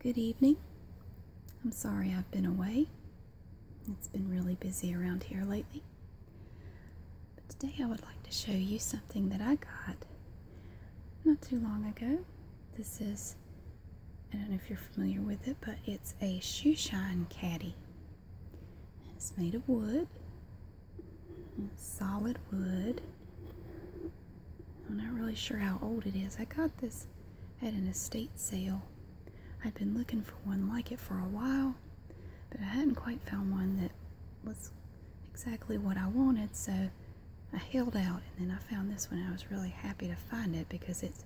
Good evening. I'm sorry I've been away. It's been really busy around here lately. But today I would like to show you something that I got not too long ago. This is, I don't know if you're familiar with it, but it's a shoe shine caddy. it's made of wood, solid wood. I'm not really sure how old it is. I got this at an estate sale. I'd been looking for one like it for a while, but I hadn't quite found one that was exactly what I wanted, so I held out and then I found this one. I was really happy to find it because it's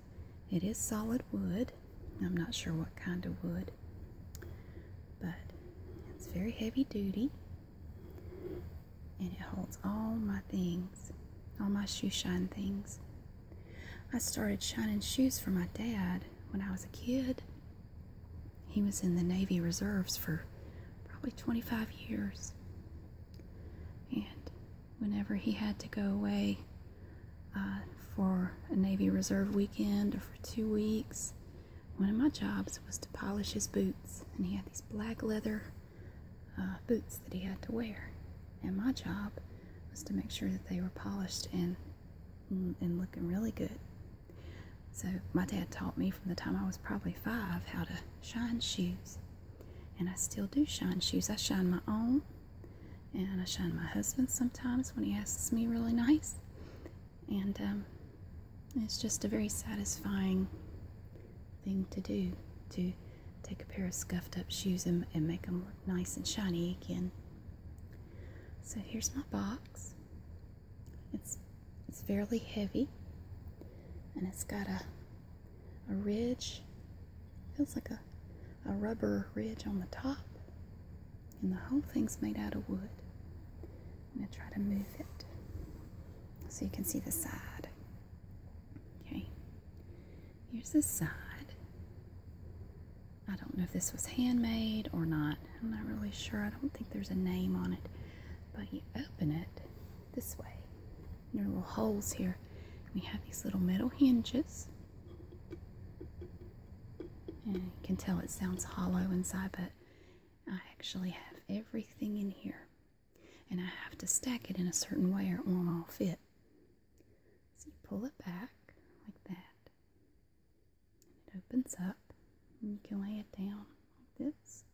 it is solid wood. I'm not sure what kind of wood, but it's very heavy duty and it holds all my things, all my shoe shine things. I started shining shoes for my dad when I was a kid. He was in the Navy Reserves for probably 25 years. And whenever he had to go away uh, for a Navy Reserve weekend or for two weeks, one of my jobs was to polish his boots, and he had these black leather uh, boots that he had to wear. And my job was to make sure that they were polished and mm, and looking really good. So my dad taught me from the time I was probably five how to shine shoes, and I still do shine shoes. I shine my own, and I shine my husband's sometimes when he asks me really nice, and um, it's just a very satisfying thing to do to take a pair of scuffed up shoes and, and make them look nice and shiny again. So here's my box. It's it's fairly heavy and it's got a a ridge. Feels like a, a rubber ridge on the top. And the whole thing's made out of wood. I'm going to try to move it so you can see the side. Okay, here's the side. I don't know if this was handmade or not. I'm not really sure. I don't think there's a name on it. But you open it this way. there are little holes here. We have these little metal hinges. And you can tell it sounds hollow inside, but I actually have everything in here, and I have to stack it in a certain way or it won't all fit. So you pull it back like that, and it opens up, and you can lay it down like this,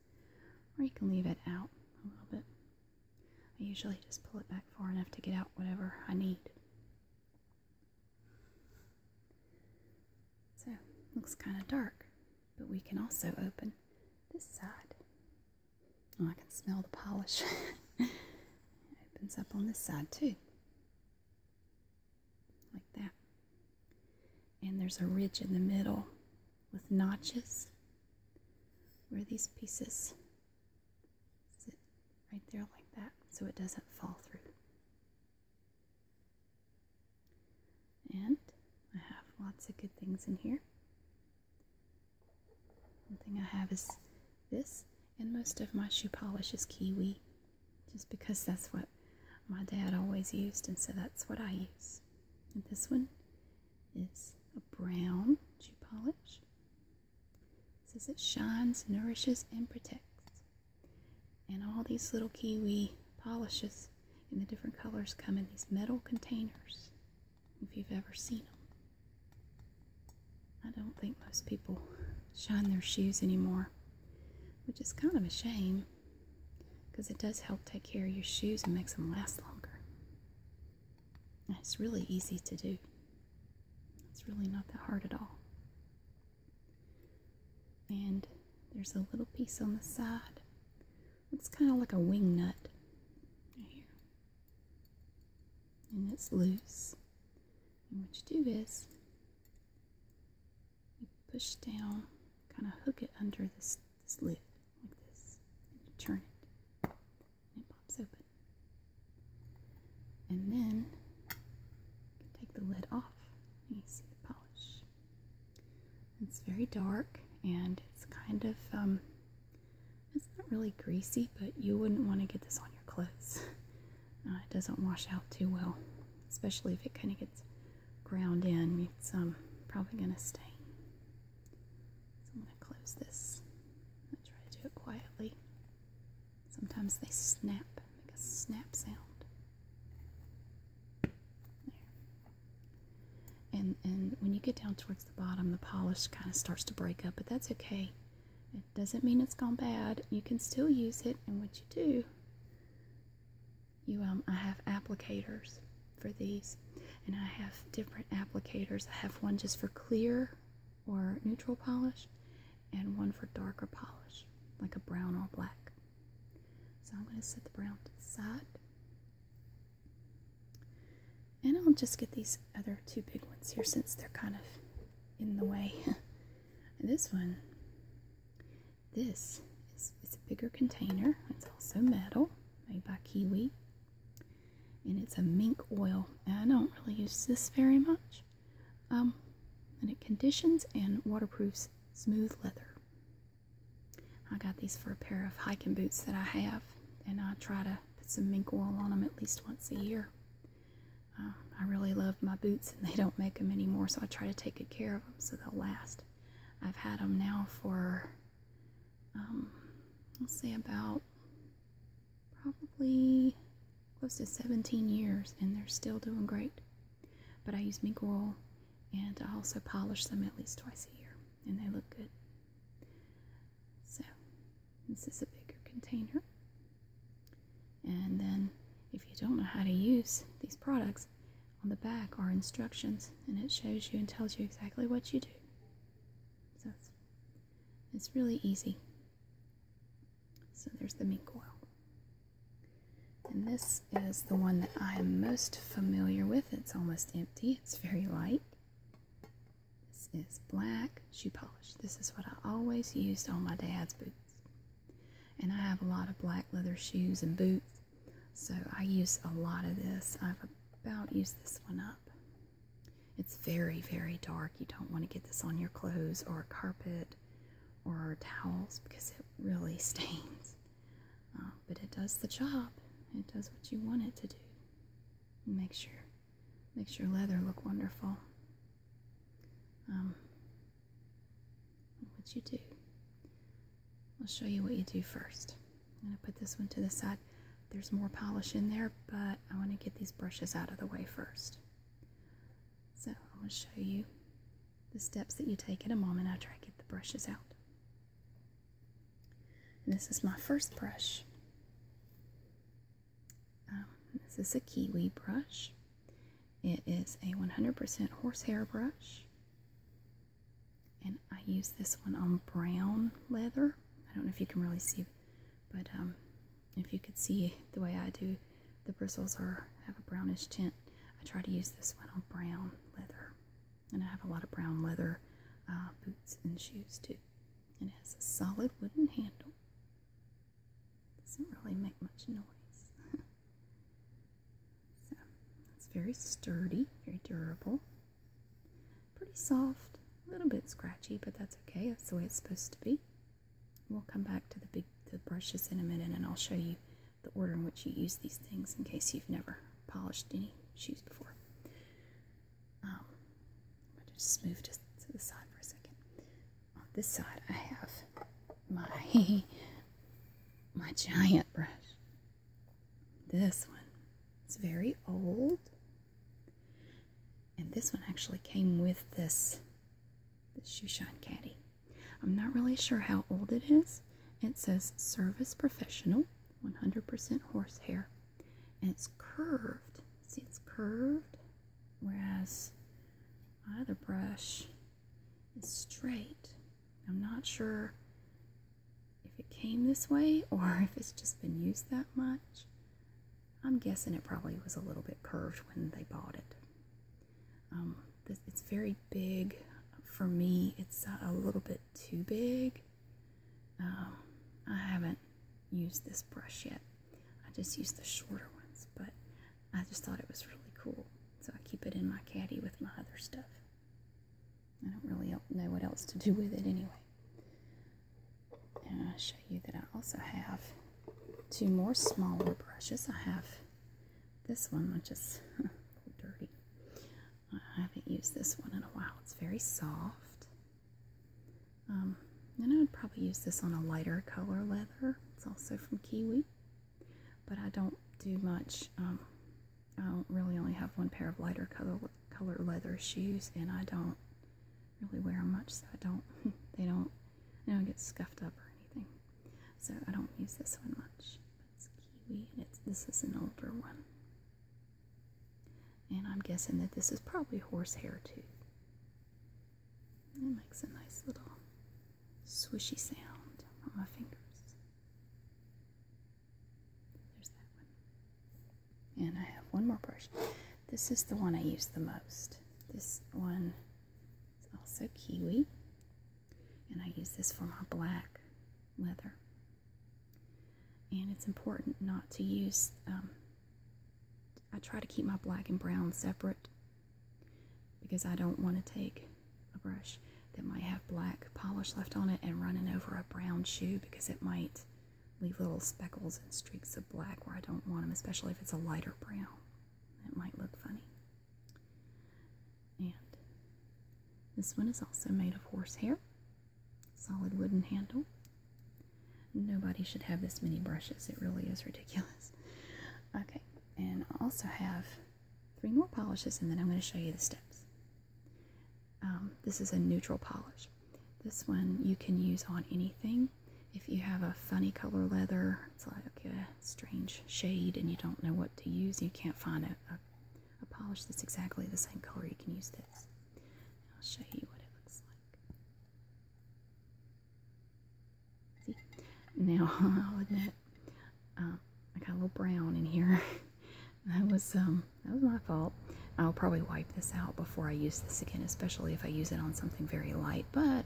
or you can leave it out a little bit. I usually just pull it back far enough to get out whatever I need. So, looks kind of dark. But we can also open this side. Oh, I can smell the polish. it opens up on this side too. Like that. And there's a ridge in the middle with notches where these pieces sit right there like that so it doesn't fall through. And I have lots of good things in here. One thing I have is this, and most of my shoe polish is kiwi, just because that's what my dad always used, and so that's what I use. And this one is a brown shoe polish. says it shines, nourishes, and protects. And all these little kiwi polishes in the different colors come in these metal containers, if you've ever seen them. I don't think most people shine their shoes anymore, which is kind of a shame because it does help take care of your shoes and makes them last longer. it's really easy to do. It's really not that hard at all. And there's a little piece on the side. Looks kind of like a wing nut right here. And it's loose. And what you do is you push down, kind of hook it under this, this lid like this. And you turn it. And it pops open. And then you can take the lid off. And you see the polish. It's very dark and it's kind of, um, it's not really greasy, but you wouldn't want to get this on your clothes. Uh, it doesn't wash out too well, especially if it kind of gets ground in. It's um, probably going to stain. I'm going to close this. I try to do it quietly. Sometimes they snap, make a snap sound. And, and when you get down towards the bottom, the polish kind of starts to break up, but that's okay. It doesn't mean it's gone bad. You can still use it, and what you do, you um, I have applicators for these, and I have different applicators. I have one just for clear or neutral polish, and one for darker polish, like a brown or black. So I'm going to set the brown to the side. And I'll just get these other two big ones here since they're kind of in the way. this one, this is a bigger container. It's also metal, made by Kiwi. And it's a mink oil. I don't really use this very much. Um, and it conditions and waterproofs smooth leather. I got these for a pair of hiking boots that I have, and I try to put some mink oil on them at least once a year. Uh, I really love my boots, and they don't make them anymore, so I try to take good care of them so they'll last. I've had them now for, um, let's say, about probably close to 17 years and they're still doing great. But I use mink oil and I also polish them at least twice a year and they look good. So this is a bigger container. And then if you don't know how to use these products, on the back are instructions and it shows you and tells you exactly what you do. So it's really easy. So there's the mink oil. And this is the one that I am most familiar with. It's almost empty, it's very light. This is black shoe polish. This is what I always used on my dad's boots. And I have a lot of black leather shoes and boots, so I use a lot of this. I've about used this one up. It's very, very dark. You don't want to get this on your clothes or carpet or towels because it really stains. Uh, but it does the job. It does what you want it to do. It makes your makes your leather look wonderful. Um, what you do. I'll show you what you do first. I'm going to put this one to the side. There's more polish in there, but I want to get these brushes out of the way first. So I'm going to show you the steps that you take in a moment I try to get the brushes out. this is my first brush. Um, this is a kiwi brush. It is a 100% horsehair brush. And I use this one on brown leather. I don't know if you can really see, but um, if you could see the way I do, the bristles are have a brownish tint. I try to use this one on brown leather, and I have a lot of brown leather uh, boots and shoes too. And it has a solid wooden handle. Doesn't really make much noise. so it's very sturdy, very durable, pretty soft, a little bit scratchy, but that's okay. That's the way it's supposed to be. We'll come back to the big the brushes in a minute and I'll show you the order in which you use these things in case you've never polished any shoes before. Um, I'm just move to the side for a second. On this side I have my, my giant brush. This one. It's very old. And this one actually came with this the shoeshine caddy. I'm not really sure how old it is. It says service professional, 100% horse hair, and it's curved. See, it's curved, whereas my other brush is straight. I'm not sure if it came this way or if it's just been used that much. I'm guessing it probably was a little bit curved when they bought it. Um, it's very big. For me, it's a little bit too big. Um, I haven't used this brush yet. I just used the shorter ones, but I just thought it was really cool. So I keep it in my caddy with my other stuff. I don't really know what else to do with it anyway. And I'll show you that I also have two more smaller brushes. I have this one, which is dirty. I haven't used this one in a while. It's very soft. Um, and I would probably use this on a lighter color leather. It's also from Kiwi. But I don't do much. Um, I don't really only have one pair of lighter color, color leather shoes, and I don't really wear them much, so I don't. They don't. They don't get scuffed up or anything. So I don't use this one much. But it's kiwi, and it's this is an older one. And I'm guessing that this is probably horsehair too. It makes a nice little swishy sound on my fingers. There's that one. And I have one more brush. This is the one I use the most. This one is also kiwi, and I use this for my black leather. And it's important not to use, um, I try to keep my black and brown separate because I don't want to take a brush that might have black polish left on it and running over a brown shoe because it might leave little speckles and streaks of black where I don't want them, especially if it's a lighter brown. It might look funny. And this one is also made of horse hair, solid wooden handle. Nobody should have this many brushes, it really is ridiculous. Okay, and I also have three more polishes, and then I'm going to show you the steps. Um, this is a neutral polish. This one you can use on anything. If you have a funny color leather, it's like a strange shade and you don't know what to use, you can't find a, a, polish that's exactly the same color, you can use this. I'll show you what it looks like. See? Now, I'll admit, uh, I got a little brown in here. that was um that was my fault. I'll probably wipe this out before I use this again, especially if I use it on something very light, but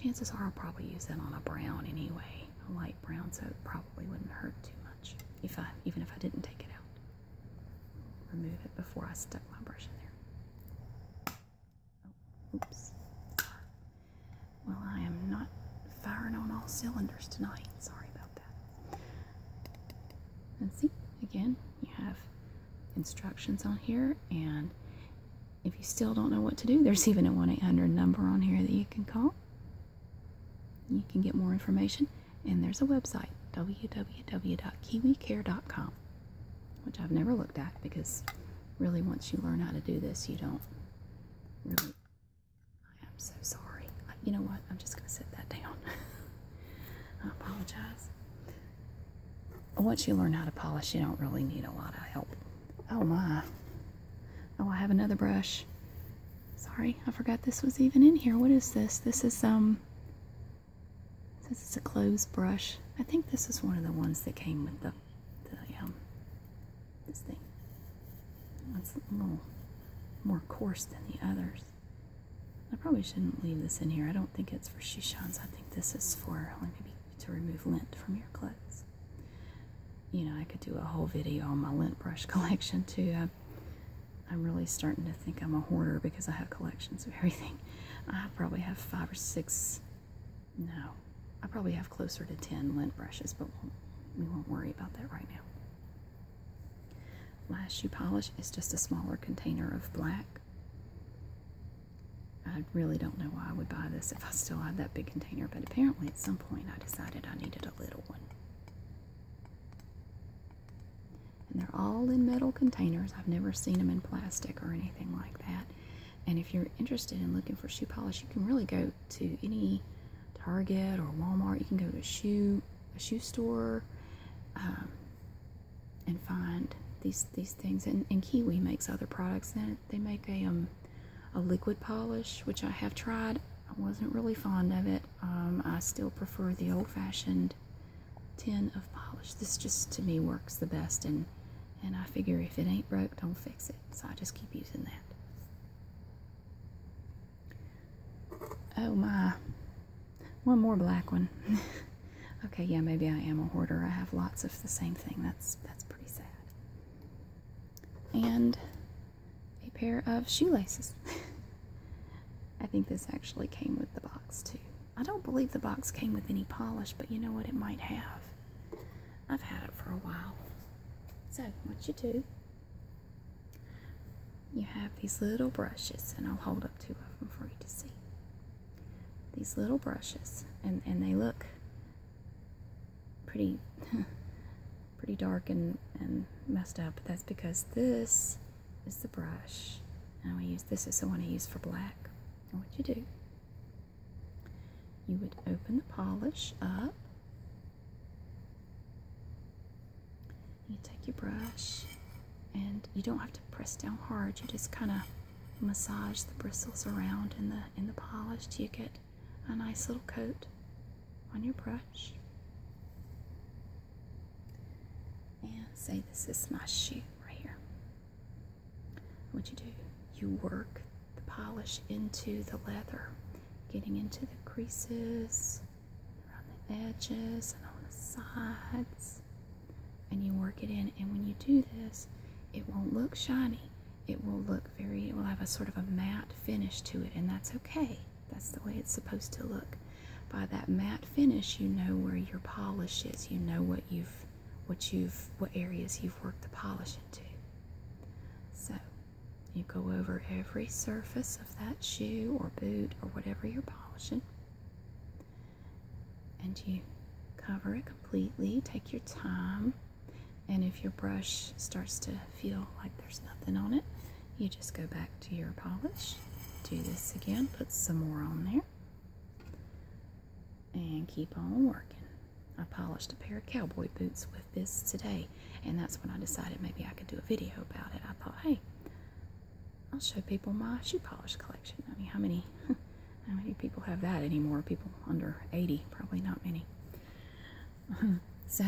chances are I'll probably use it on a brown anyway, a light brown, so it probably wouldn't hurt too much, if I, even if I didn't take it out. Remove it before I stuck my brush in there. Oh, oops. Well, I am not firing on all cylinders tonight. Sorry about that. Let's see, again, you have instructions on here, and if you still don't know what to do, there's even a 1 800 number on here that you can call. You can get more information, and there's a website www.kiwicare.com, which I've never looked at because really, once you learn how to do this, you don't really. I am so sorry. You know what? I'm just going to set that down. I apologize. Once you learn how to polish, you don't really need a lot of help. Oh my. Oh, I have another brush. Sorry, I forgot this was even in here. What is this? This is, um, this is a closed brush. I think this is one of the ones that came with the, the um, this thing. It's a little more coarse than the others. I probably shouldn't leave this in here. I don't think it's for shishans. I think this is for maybe to remove lint from your clothes. You know, I could do a whole video on my lint brush collection too. I, am really starting to think I'm a hoarder because I have collections of everything. I probably have five or six. No, I probably have closer to ten lint brushes, but we'll, we will not worry about that right now. Last shoe polish is just a smaller container of black. I really don't know why I would buy this if I still had that big container, but apparently at some point I decided I needed a little one. And they're all in metal containers. I've never seen them in plastic or anything like that. And if you're interested in looking for shoe polish, you can really go to any Target or Walmart. You can go to a shoe a shoe store. Um, and find these these things. And, and Kiwi makes other products. And they make a um a liquid polish, which I have tried. I wasn't really fond of it. Um, I still prefer the old-fashioned tin of polish. This just to me works the best, and and I figure if it ain't broke, don't fix it. So I just keep using that. Oh my. One more black one. okay, yeah, maybe I am a hoarder. I have lots of the same thing. That's that's pretty sad. And a pair of shoelaces. I think this actually came with the box too. I don't believe the box came with any polish, but you know what? It might have. I've had it for a while. So, what you do you have these little brushes, and I'll hold up two of them for you to see. These little brushes, and, and they look pretty pretty dark and, and messed up. But That's because this is the brush. And I use this is the one I use for black. And what you do, you would open the polish up you take your brush and you don't have to press down hard. You just kind of massage the bristles around in the in the polish till you get a nice little coat on your brush. And say this is my shoe right here. What you do, you work the polish into the leather, getting into the creases around the edges and on the sides. And you work it in. And when you do this, it won't look shiny. It will look very, it will have a sort of a matte finish to it. And that's okay. That's the way it's supposed to look. By that matte finish, you know where your polish is. You know what you've, what you've, what areas you've worked the polish into. So you go over every surface of that shoe or boot or whatever you're polishing. And you cover it completely. Take your time. And if your brush starts to feel like there's nothing on it, you just go back to your polish. Do this again. Put some more on there. And keep on working. I polished a pair of cowboy boots with this today. And that's when I decided maybe I could do a video about it. I thought, hey, I'll show people my shoe polish collection. I mean, how many, how many people have that anymore? People under 80, probably not many. so,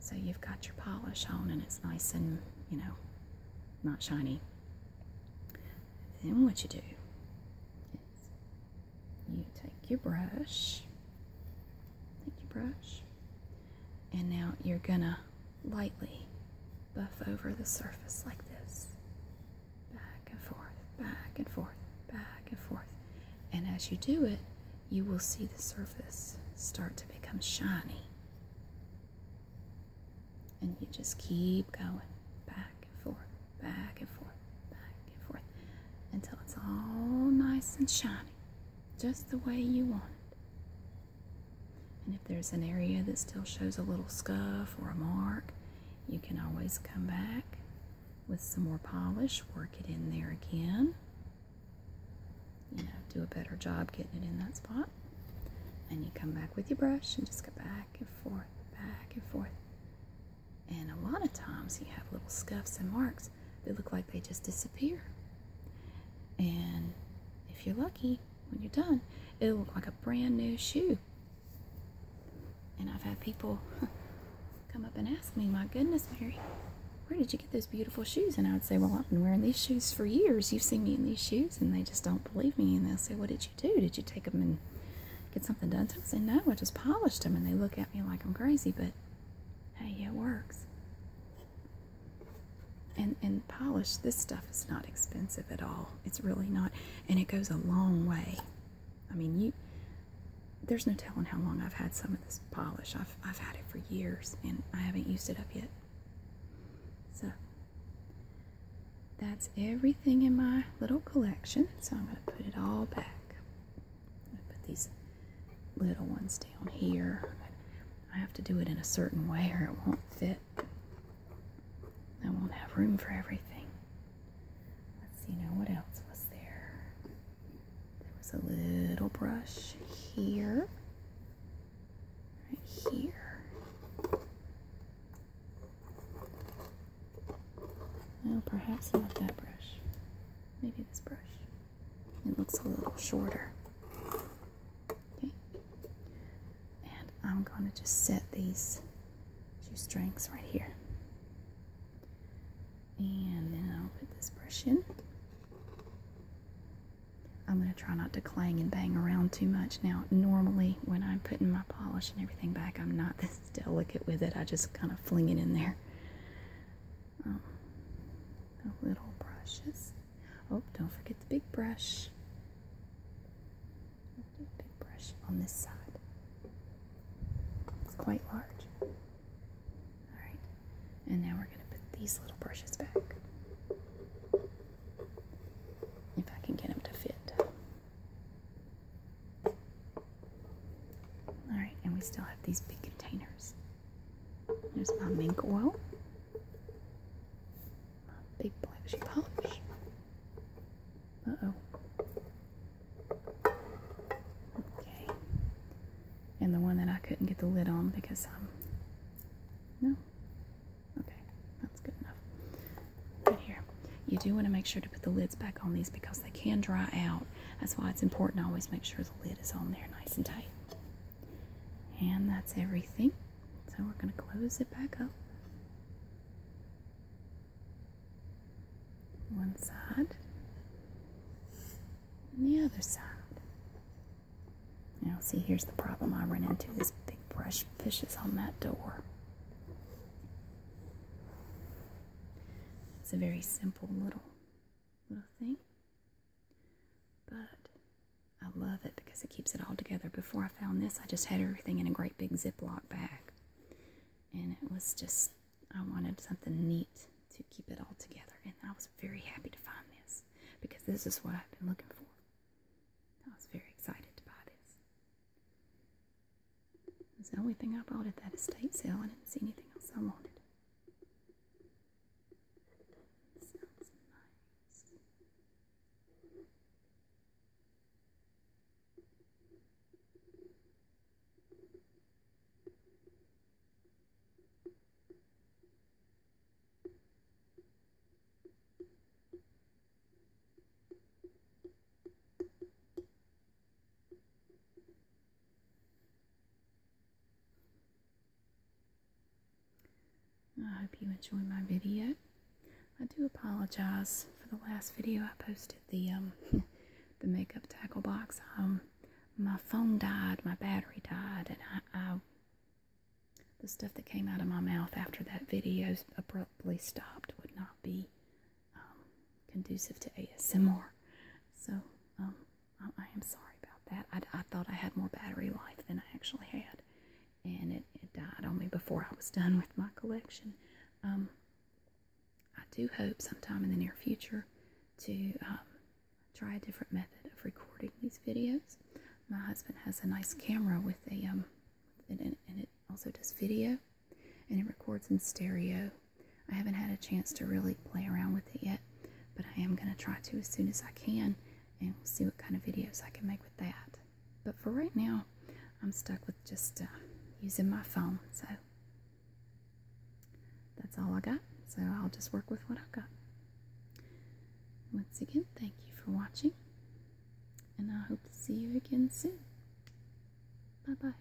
so you've got your polish on and it's nice and, you know, not shiny. Then what you do is you take your brush, take your brush, and now you're gonna lightly buff over the surface like this. Back and forth, back and forth, back and forth. And as you do it, you will see the surface start to become shiny. And you just keep going back and forth, back and forth, back and forth until it's all nice and shiny, just the way you want it. And if there's an area that still shows a little scuff or a mark, you can always come back with some more polish, work it in there again. You know, do a better job getting it in that spot. And you come back with your brush and just go back and forth, back and forth. And a lot of times you have little scuffs and marks they look like they just disappear. And if you're lucky, when you're done, it'll look like a brand new shoe. And I've had people come up and ask me, My goodness, Mary, where did you get those beautiful shoes? And I would say, Well, I've been wearing these shoes for years. You've seen me in these shoes. And they just don't believe me. And they'll say, What did you do? Did you take them and get something done So I say, No, I just polished them. And they look at me like I'm crazy. But hey, it works and and polish this stuff is not expensive at all it's really not and it goes a long way i mean you there's no telling how long i've had some of this polish i've i've had it for years and i haven't used it up yet so that's everything in my little collection so i'm going to put it all back put these little ones down here. I have to do it in a certain way or it won't fit. I won't have room for everything. Let's see now, what else was there? There was a little brush here, right here. Well, perhaps not that brush. Maybe this brush. It looks a little shorter. Okay. And I'm going to just set these two strings right here. And then I'll put this brush in. I'm going to try not to clang and bang around too much. Now, normally when I'm putting my polish and everything back, I'm not this delicate with it. I just kind of fling it in there um, little brushes. Oh, don't forget the big brush. Big brush on this side. It's quite large. All right, and now we're going to put these little brushes back. If I can get them to fit. All right, and we still have these big containers. There's my mink oil. My big blushy polish. Uh-oh. Okay. And the one that I couldn't get the lid on because Um, no? Okay. That's good enough. Right here. You do want to make sure to put the lids back on these because they can dry out that's why it's important to always make sure the lid is on there nice and tight. And that's everything. So we're going to close it back up. One side and the other side. Now, see, here's the problem I run into this big brush fishes on that door. It's a very simple little little thing. But I love it because it keeps it all together. Before I found this, I just had everything in a great big Ziploc bag. And it was just, I wanted something neat to keep it all together. And I was very happy to find this because this is what I've been looking for. I was very excited to buy this. It's the only thing I bought at that estate sale. I didn't see anything else I wanted. It sounds nice. It I hope you enjoy my video. I do apologize for the last video I posted the um the makeup tackle box. Um my phone died, my battery died, and I, I the stuff that came out of my mouth after that video abruptly stopped would not be um, conducive to ASMR. So um, Oh, I, am sorry about that. I, thought I had more battery life than I actually had, and it, died on me before I was done with my collection. Um, I do hope sometime in the near future to um, try a different method of recording these videos. My husband has a nice camera with a um, and it also does video, and it records in stereo I haven't had a chance to really play around with it yet, but I am going to try to as soon as I can and we'll see what kind of videos I can make with that. But for right now, I'm stuck with just uh, using my phone, so that's all I got. So I'll just work with what I've got. Once again, thank you for watching, and I hope to see you again soon. Bye bye.